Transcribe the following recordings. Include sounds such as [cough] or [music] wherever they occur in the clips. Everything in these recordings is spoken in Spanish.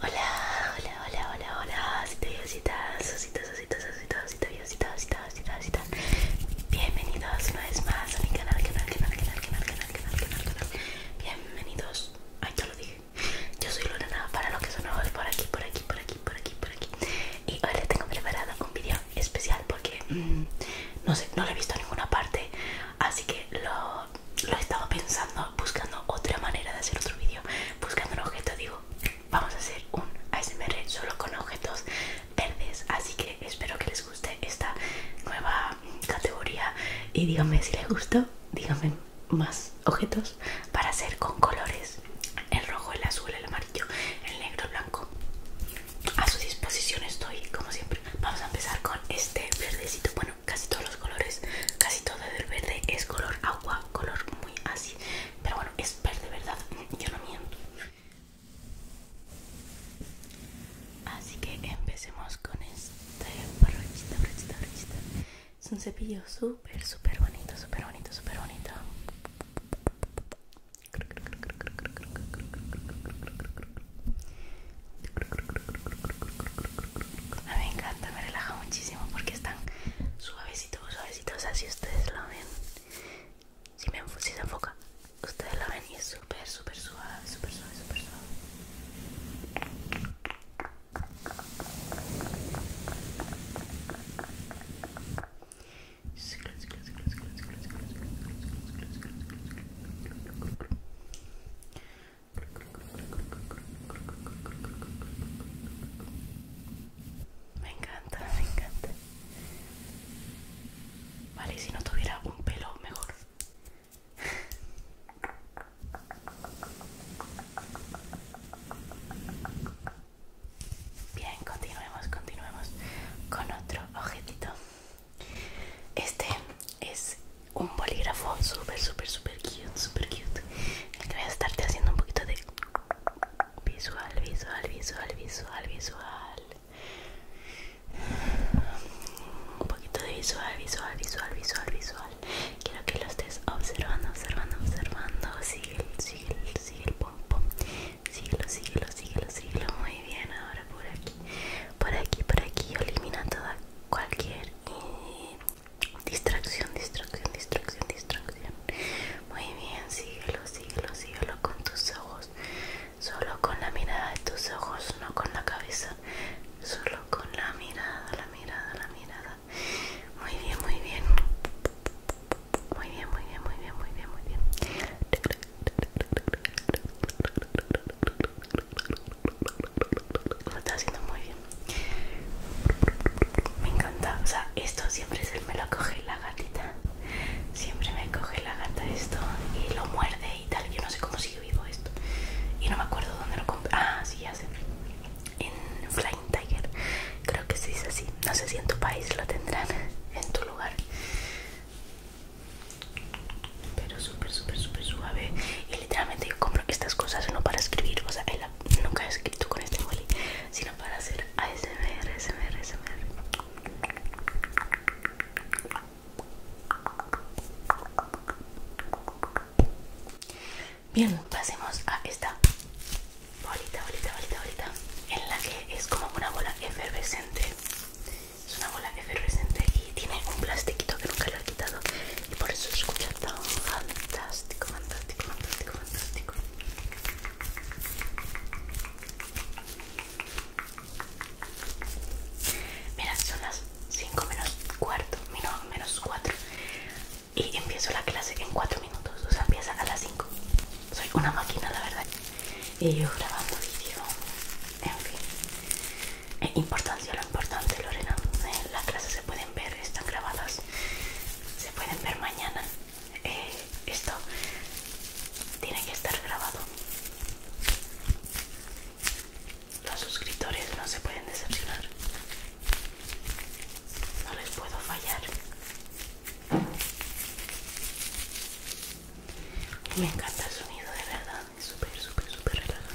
Hola, hola, hola, hola, hola, Si te susitas, susitas, Bienvenidos una vez más a mi canal, canal, canal, canal, canal, canal, canal, Bienvenidos, ay ya lo dije, yo soy Lorena, para los que son nuevos por aquí, por aquí, por aquí, por aquí, por aquí Y hoy les tengo preparado un video especial porque mm, no sé, no lo he visto en ninguna parte, así que lo, lo he estado pensando, buscando otra manera de hacer otro vídeo, buscando un objeto, digo, vamos a hacer un ASMR solo con objetos verdes, así que espero que les guste esta nueva categoría y díganme si les gustó, díganme más objetos para hacer con colores el rojo, el azul, el amarillo, el negro, el blanco a su disposición estoy como siempre vamos a empezar con este verdecito bueno casi todos los colores casi todo del verde es color agua color muy así pero bueno es verde verdad mm, yo no miento así que empecemos con este brochita brochita brochita es un cepillo súper súper bonito súper bonito súper bonito a mí me encanta, me relaja muchísimo porque están suavecitos, suavecitos, si ustedes lo ven. Si, me, si se enfoca, ustedes lo ven y es súper, súper suave, súper suave, súper suave. Me encanta, me encanta. Vale, si no tuviera un pelo mejor. Bien, continuemos, continuemos con otro objetito. Este es un bolígrafo súper, súper, súper cute, súper cute. El que voy a estarte haciendo un poquito de visual, visual, visual, visual, visual. Un poquito de visual, visual, visual, visual, visual. Quiero que lo estés observando, observando, observando. Sigue, sigue, sigue el pom pom. Síguelo, síguelo, síguelo, síguelo. Muy bien, ahora por aquí. Por aquí, por aquí. Elimina toda cualquier eh, distracción, distracción, distracción, distracción. Muy bien, síguelo, síguelo, síguelo con tus ojos. Solo con la mirada de tus ojos, no con la cabeza. Solo con la mirada, la mirada, la mirada. Muy bien, muy bien. Muy bien, muy bien, muy bien, muy bien, muy bien. Lo está haciendo muy bien. Me encanta. O sea, esto siempre se me lo coge la gatita. Siempre me coge la gata esto y lo muerde y tal. Yo no sé cómo sigue vivo esto. Y no me acuerdo dónde lo compré. Ah, sí, ya sé. En Flying Tiger. Creo que se dice así. No sé si en tu país lo tendrán. En tu lugar pero súper súper súper suave y literalmente yo compro estas cosas no para escribir o sea nunca he escrito con este boli sino para hacer ASMR ASMR ASMR bien pasemos a esta bolita, bolita, bolita, bolita, en la que es como una bola efervescente. Es una bola efervescente y tiene un plastiquito que nunca lo he quitado y por eso escucha tan fantástico, fantástico, fantástico, fantástico. Mira, son las 5 menos cuarto, menos 4 y empiezo la clase en 4 minutos, o sea, empieza a las 5. Soy una máquina, la verdad y yo grabando vídeo. En fin, importancia lo importante, Lorena. Eh, las clases se pueden ver, están grabadas, se pueden ver mañana. Eh, esto tiene que estar grabado. Los suscriptores no se pueden decepcionar. No les puedo fallar. Me encanta el sonido, de verdad. Es super super súper relajante.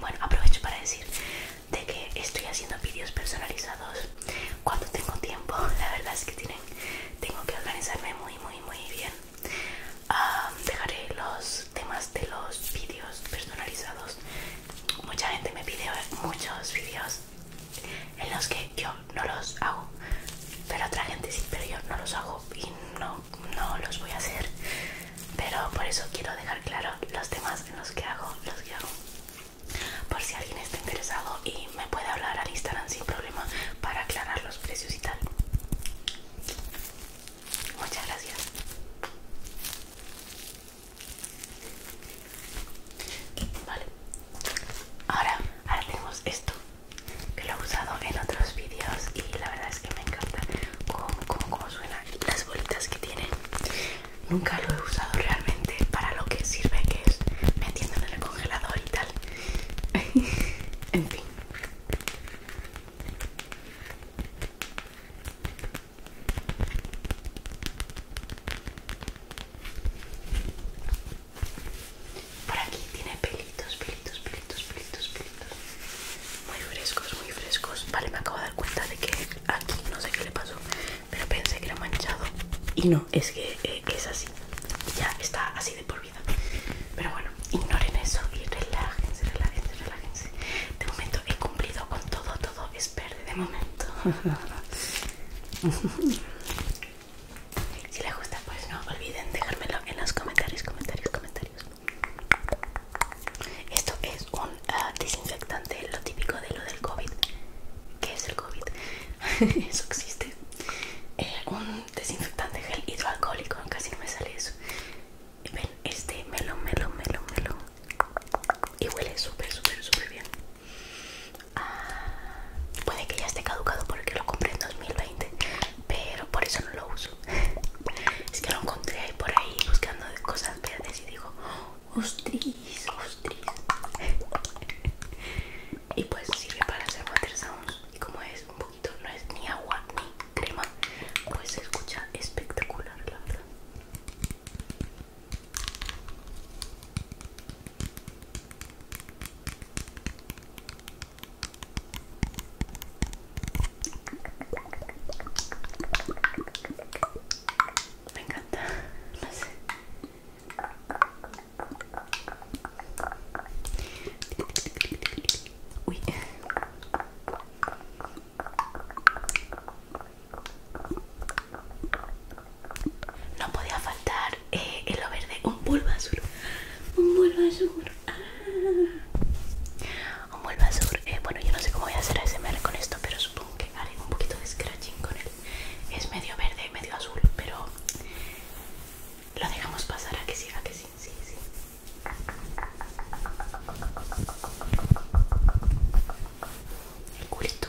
Bueno, aprovecho para decir de que estoy haciendo vídeos personalizados cuando tengo tiempo. [laughs] La verdad es que tienen, tengo que organizarme muy, muy, muy bien. dejaré los temas de los vídeos personalizados. Mucha gente me pide muchos vídeos en los que yo no los hago, pero otra gente sí, pero yo no los hago y no, los voy a hacer. Pero por eso quiero dejar claro los temas en los que hago, los que hago. Por si alguien está interesado y me puede hablar al Instagram sin problema para aclarar los precios y tal. Muchas gracias. Vale. Ahora, ahora tenemos esto que lo he usado en otros vídeos y la verdad es que me encanta cómo, cómo, suena las bolitas que tiene. Nunca lo he usado realmente para lo que sirve, que es metiéndolo en el congelador y tal. [laughs] en fin. Por aquí tiene pelitos, pelitos, pelitos, pelitos, pelitos. Muy frescos, muy frescos. Vale, me acabo de dar cuenta de que aquí no sé qué le pasó, pero pensé que era manchado. Y no, es que eh, es así. Ya está así de por vida. Pero bueno, ignoren eso y relájense, relájense, relájense. De momento he cumplido con todo, todo es verde de momento. [laughs] Si les gusta, pues no olviden dejármelo en los comentarios, comentarios, comentarios. Esto es un ah, desinfectante, lo típico de lo del COVID. ¿Qué es el COVID? [laughs] eso existe. Eh, un desinfectante gel hidroalcohólico, casi no me sale eso. Ven, este melón, melón, melón, melón. Y huele súper, súper, súper bien. Ah, puede que ya esté caducado porque lo compré en 2020, pero por eso no lo uso. [laughs] Es que lo encontré ahí por ahí buscando cosas verdes y digo, ostris, ostris. [laughs] Y pues sirve para hacer water sounds. Y como es un poquito, no es ni agua ni crema, pues se escucha espectacular, la verdad. Me encanta, no sé. Uy. No podía faltar en eh, lo verde un azul Un Bulbasur. azul ah. Un Bulbasur. azul, eh, bueno, yo no sé cómo voy a hacer ASMR con esto, pero supongo que haré un poquito de scratching con él. Es medio verde, medio azul, pero lo dejamos pasar a que siga, que sí, sí, sí el culito,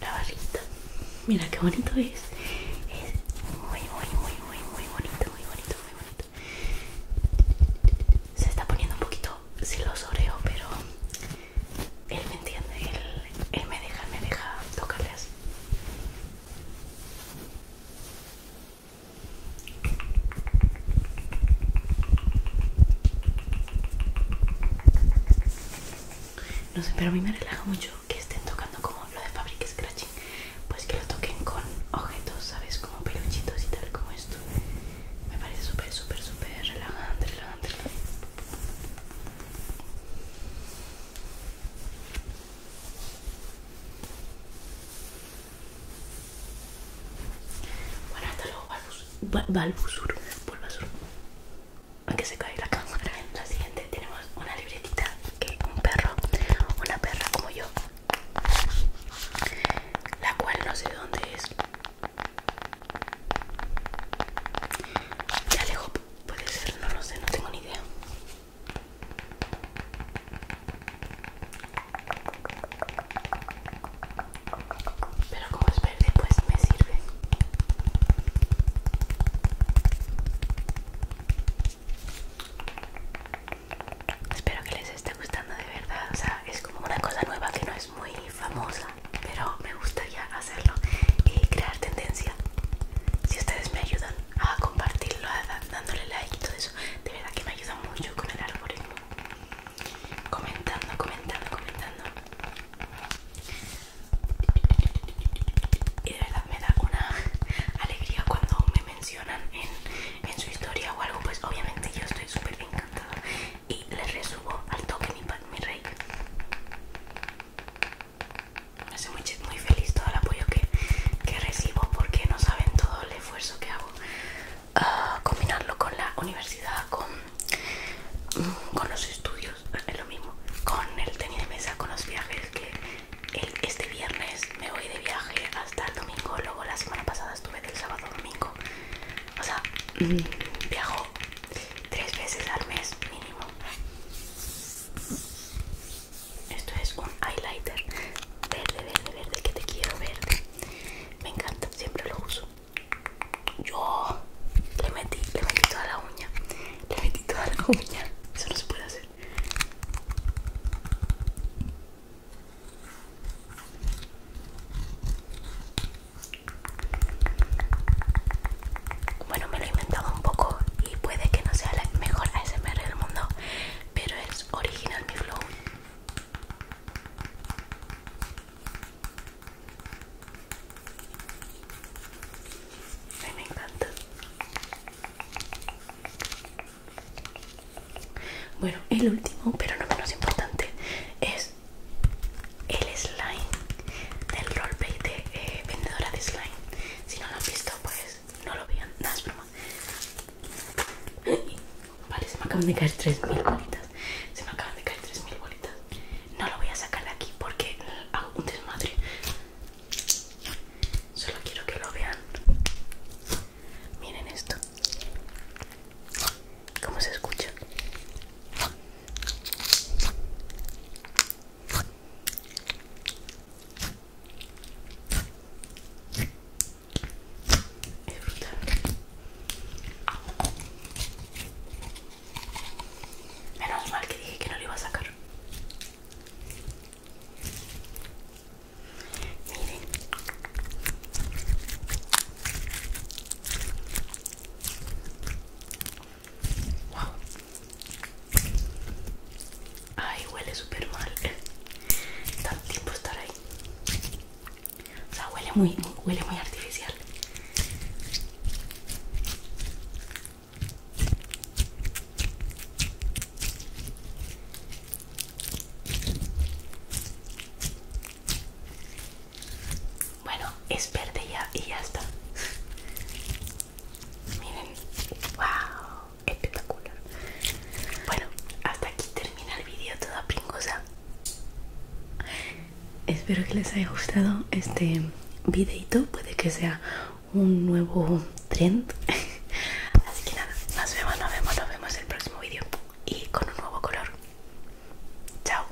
la barrita. Mira qué bonito es. Es muy, muy, muy, muy, muy bonito, muy bonito, muy bonito. Se está poniendo un poquito silosoreo, pero él me entiende. Él, me deja, me deja no sé, pero a mí me relaja mucho que estén tocando como lo de Fabric Scratching, pues que lo toquen con objetos, ¿sabes? Como peluchitos y tal, como esto. Me parece súper, súper, súper relajante, relajante. Bueno, hasta luego, Balbusur aunque se cae la cámara. La siguiente tenemos una libretita que un perro, una perra como yo, la cual no sé dónde es. Ya lejos puede ser, no lo sé, no tengo ni idea. Pero como es después me sirve espero que les esté gustando de verdad o sea es como una cosa nueva que no es muy famosa pero me gustaría hacerlo y crear tendencia si ustedes me ayudan a compartirlo a, dándole like y todo eso de verdad que me ayuda mucho con el algoritmo comentando comentando comentando y de verdad me da una alegría cuando me mencionan en, su historia o algo, pues obviamente yo estoy súper encantada. Y les resubo al toque mi, mi rey. Me hace muy, feliz todo el apoyo que, recibo porque no saben todo el esfuerzo que hago. a ah, combinarlo con la universidad, con con los estudios, es lo mismo, con el tenis de mesa, con los viajes, que este viernes me voy de viaje hasta el domingo, luego la semana pasada estuve del sábado domingo, o sea, mm, viajo tres veces al mes mínimo. Esto es un highlighter verde, verde, verde, que te quiero verde. Me encanta, siempre lo uso. Yo le metí, le metí toda la uña. Le metí toda la uña. Eso no se puede hacer. Bueno, me lo he inventado un poco y puede que no sea la mejor ASMR del mundo, pero es original mi flow me encanta. Bueno, el último, pero no menos importante, es el slime del play de eh, vendedora de slime. Si no lo han visto, pues no lo vean. Nada, es broma. Vale, se me acaban de caer 3.000 bolitas. Se me acaban de caer 3.000 bolitas. No lo voy a sacar de aquí porque hago un desmadre. Solo quiero que lo vean. Miren esto. ¿Cómo se escucha? Menos mal que dije que no lo iba a sacar. Miren. Wow. Ay, huele súper mal. Tanto tiempo estar ahí. O sea, huele muy, huele muy artificial. Bueno, es verde ya y ya está. Miren, wow, espectacular. Bueno, hasta aquí termina el vídeo toda pingosa espero que les haya gustado este videito puede que sea un nuevo trend [laughs] así que nada nos vemos nos vemos nos vemos en el próximo vídeo y con un nuevo color chao